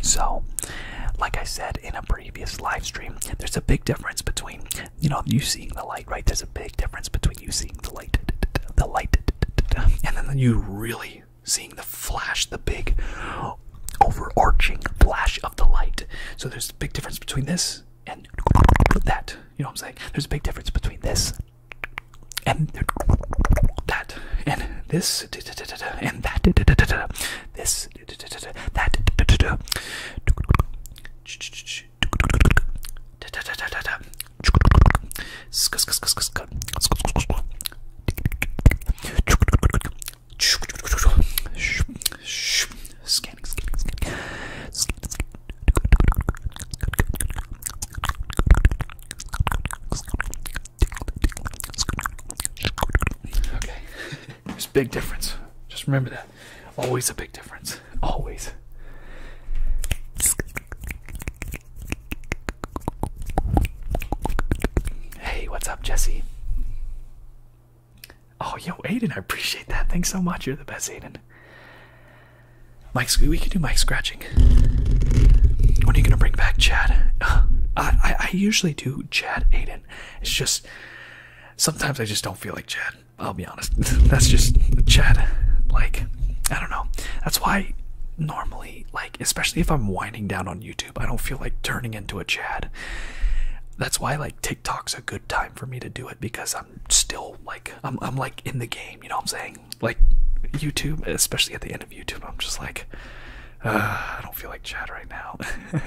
So, like I said in a previous live stream, there's a big difference between, you know, you seeing the light, right? There's a big difference between you seeing the light, the light, and then you really seeing the flash, the big overarching flash of the light. So there's a big difference between this and that. You know what I'm saying? There's a big difference between this and that and this and that. This this, that, scanning, scanning, scanning. Okay, there's a big difference. Just remember that. Always a big difference. Always. Hey, what's up, Jesse? Oh, yo, Aiden, I appreciate that. Thanks so much. You're the best, Aiden. Mike, we can do Mike scratching. What are you gonna bring back Chad? I I usually do Chad Aiden. It's just sometimes I just don't feel like Chad. I'll be honest. That's just Chad. Like, I don't know. That's why normally, like, especially if I'm winding down on YouTube, I don't feel like turning into a Chad. That's why, like, TikTok's a good time for me to do it because I'm still, like, I'm, I'm like in the game, you know what I'm saying? Like, YouTube, especially at the end of YouTube, I'm just like, I don't feel like Chad right now.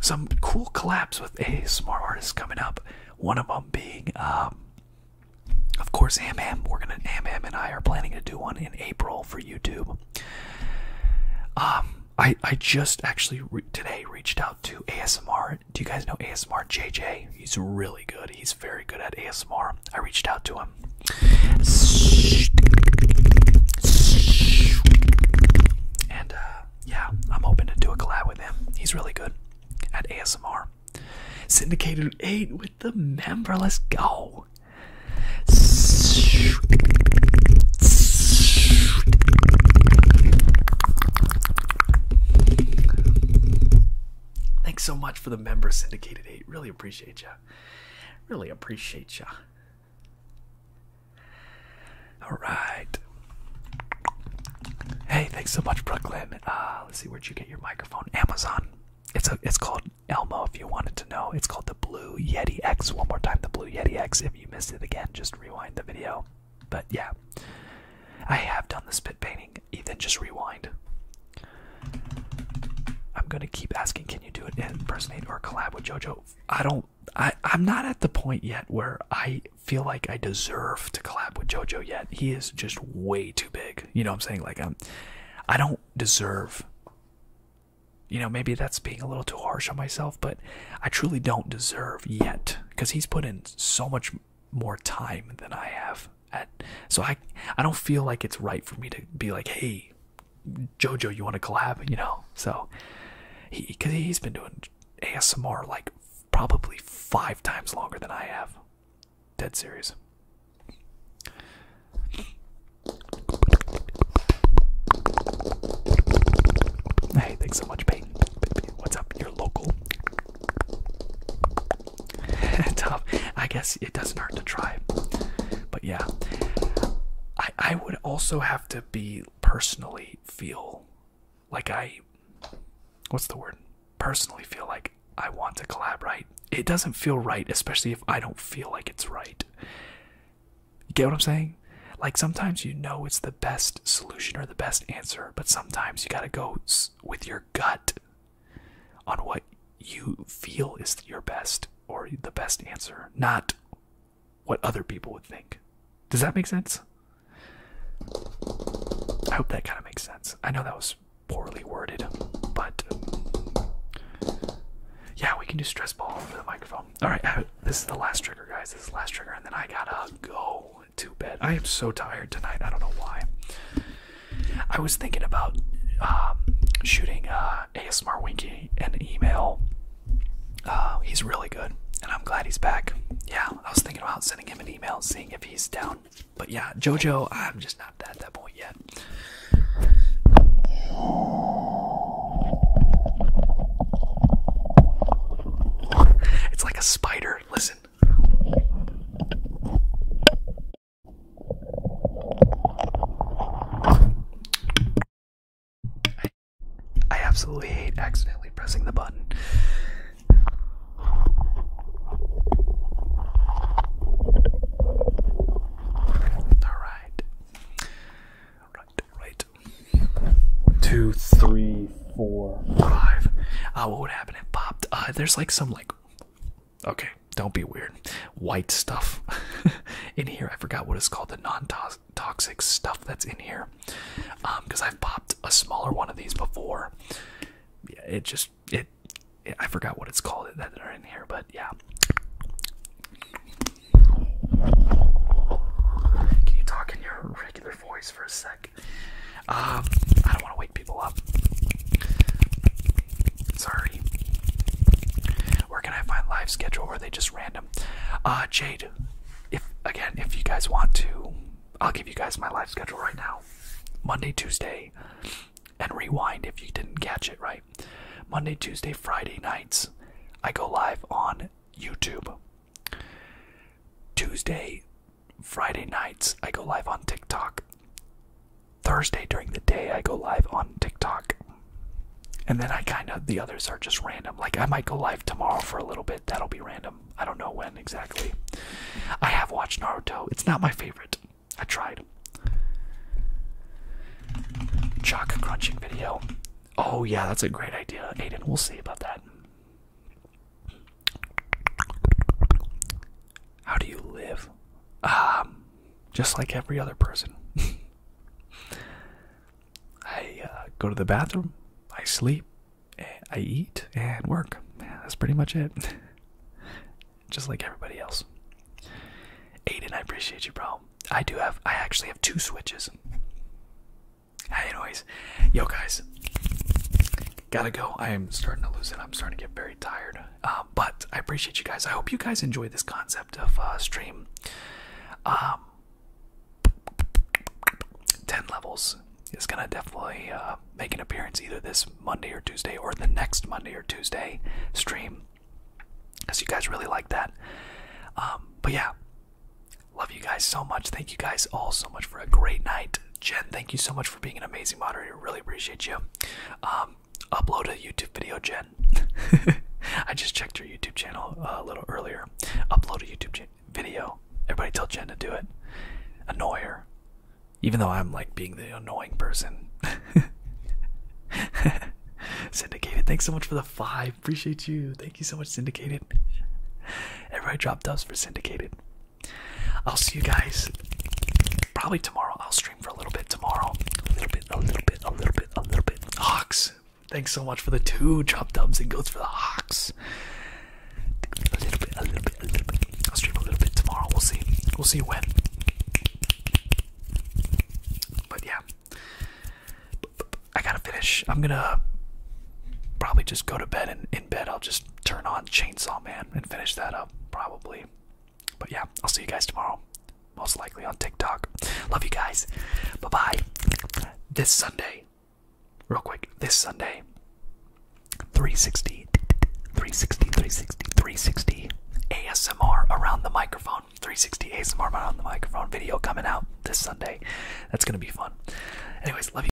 Some cool collabs with ASMR artists coming up. One of them being, um, of course, Amam. We're gonna Am and I are planning to do one in April for YouTube. Um, I I just actually today reached out to ASMR do you guys know ASMR JJ? He's really good. He's very good at ASMR. I reached out to him. And uh, yeah, I'm hoping to do a collab with him. He's really good at ASMR. Syndicated 8 with the member. Let's go. Thanks so much for the member syndicated eight. Really appreciate you. Really appreciate you. All right. Hey, thanks so much, Brooklyn. Uh, let's see where'd you get your microphone? Amazon. It's a. It's called Elmo. If you wanted to know, it's called the Blue Yeti X. One more time, the Blue Yeti X. If you missed it again, just rewind the video. But yeah, I have done the spit painting. Ethan, just rewind. I'm gonna keep asking, can you do an impersonate or collab with JoJo? I don't. I I'm not at the point yet where I feel like I deserve to collab with JoJo yet. He is just way too big. You know what I'm saying? Like I'm. I don't deserve. You know, maybe that's being a little too harsh on myself but I truly don't deserve yet because he's put in so much more time than I have. so I, I don't feel like it's right for me to be like, hey, Jojo, you want to collab? You know, so he because he's been doing ASMR like probably five times longer than I have. Dead serious. Hey, thanks so much, Peyton. What's up? local. Tough. I guess it doesn't hurt to try. But yeah, I I would also have to be personally feel like I what's the word? Personally feel like I want to collaborate. It doesn't feel right, especially if I don't feel like it's right. get what I'm saying? Like sometimes you know it's the best solution or the best answer, but sometimes you gotta go with your gut on what you feel is your best or the best answer, not what other people would think. Does that make sense? I hope that kind of makes sense. I know that was poorly worded, but yeah, we can do stress ball for the microphone. All right, this is the last trigger, guys. This is the last trigger, and then I gotta go to bed. I am so tired tonight. I don't know why. I was thinking about um, shooting uh, ASMR Winky an email. Uh, he's really good, and I'm glad he's back. Yeah, I was thinking about sending him an email, seeing if he's down. But yeah, JoJo, I'm just not at that point yet. It's like a spider Listen. I, absolutely hate accidentally pressing the button. All right. All right, all right two, three, four, five. Ah, what would happen? if popped. Uh, there's like some like, okay, don't be weird. White stuff in here. I forgot what it's called. The non-toxic stuff that's in here. Um, because I've popped a smaller one of these before. Yeah, it just it. I forgot what it's called that are in here, but yeah. Can you talk in your regular voice for a sec? Um, I don't want to wake people up. Sorry. Where can I find live schedule or are they just random? Uh Jade, if again, if you guys want to, I'll give you guys my live schedule right now. Monday, Tuesday, and rewind if you didn't catch it right. Monday, Tuesday, Friday nights, I go live on YouTube. Tuesday, Friday nights, I go live on TikTok. Thursday during the day, I go live on TikTok. And then I kind of, the others are just random. Like, I might go live tomorrow for a little bit. That'll be random. I don't know when exactly. I have watched Naruto. It's not my favorite. I tried. Chalk crunching video. Oh, yeah, that's a great idea. Aiden, we'll see about that. How do you live? Um, just like every other person. I uh, go to the bathroom, I sleep, I eat, and work. that's pretty much it. just like everybody else. Aiden, I appreciate you, bro. I do have, I actually have two switches. Anyways, yo guys, gotta go. I am starting to lose it. I'm starting to get very tired. Uh, but I appreciate you guys. I hope you guys enjoy this concept of uh, stream. Um, ten levels is gonna definitely uh, make an appearance either this Monday or Tuesday or the next Monday or Tuesday stream. Cause you guys really like that. Um, but yeah, Love you guys so much. Thank you guys all so much for a great night. Jen, thank you so much for being an amazing moderator. Really appreciate you. Um, upload a YouTube video, Jen. I just checked your YouTube channel uh, a little earlier. Upload a YouTube video. Everybody tell Jen to do it. Annoy her. Even though I'm like being the annoying person. Syndicated, thanks so much for the five. Appreciate you. Thank you so much, Syndicated. Everybody drop dubs for Syndicated. I'll see you guys probably tomorrow. I'll stream for a little bit tomorrow. A little bit, a little bit, a little bit, a little bit. Hawks, thanks so much for the two drop dubs and goats for the Hawks. A little bit, a little bit, a little bit. I'll stream a little bit tomorrow. We'll see. We'll see when. But yeah, I gotta finish. I'm gonna probably just go to bed and in bed I'll just turn on Chainsaw Man and finish that up, probably. But yeah, I'll see you guys tomorrow. Most likely on TikTok. Love you guys. Bye bye. This Sunday, real quick, this Sunday, 360, 360, 360, ASMR around the microphone. 360 ASMR around the microphone video coming out this Sunday. That's going to be fun. Anyways, love you.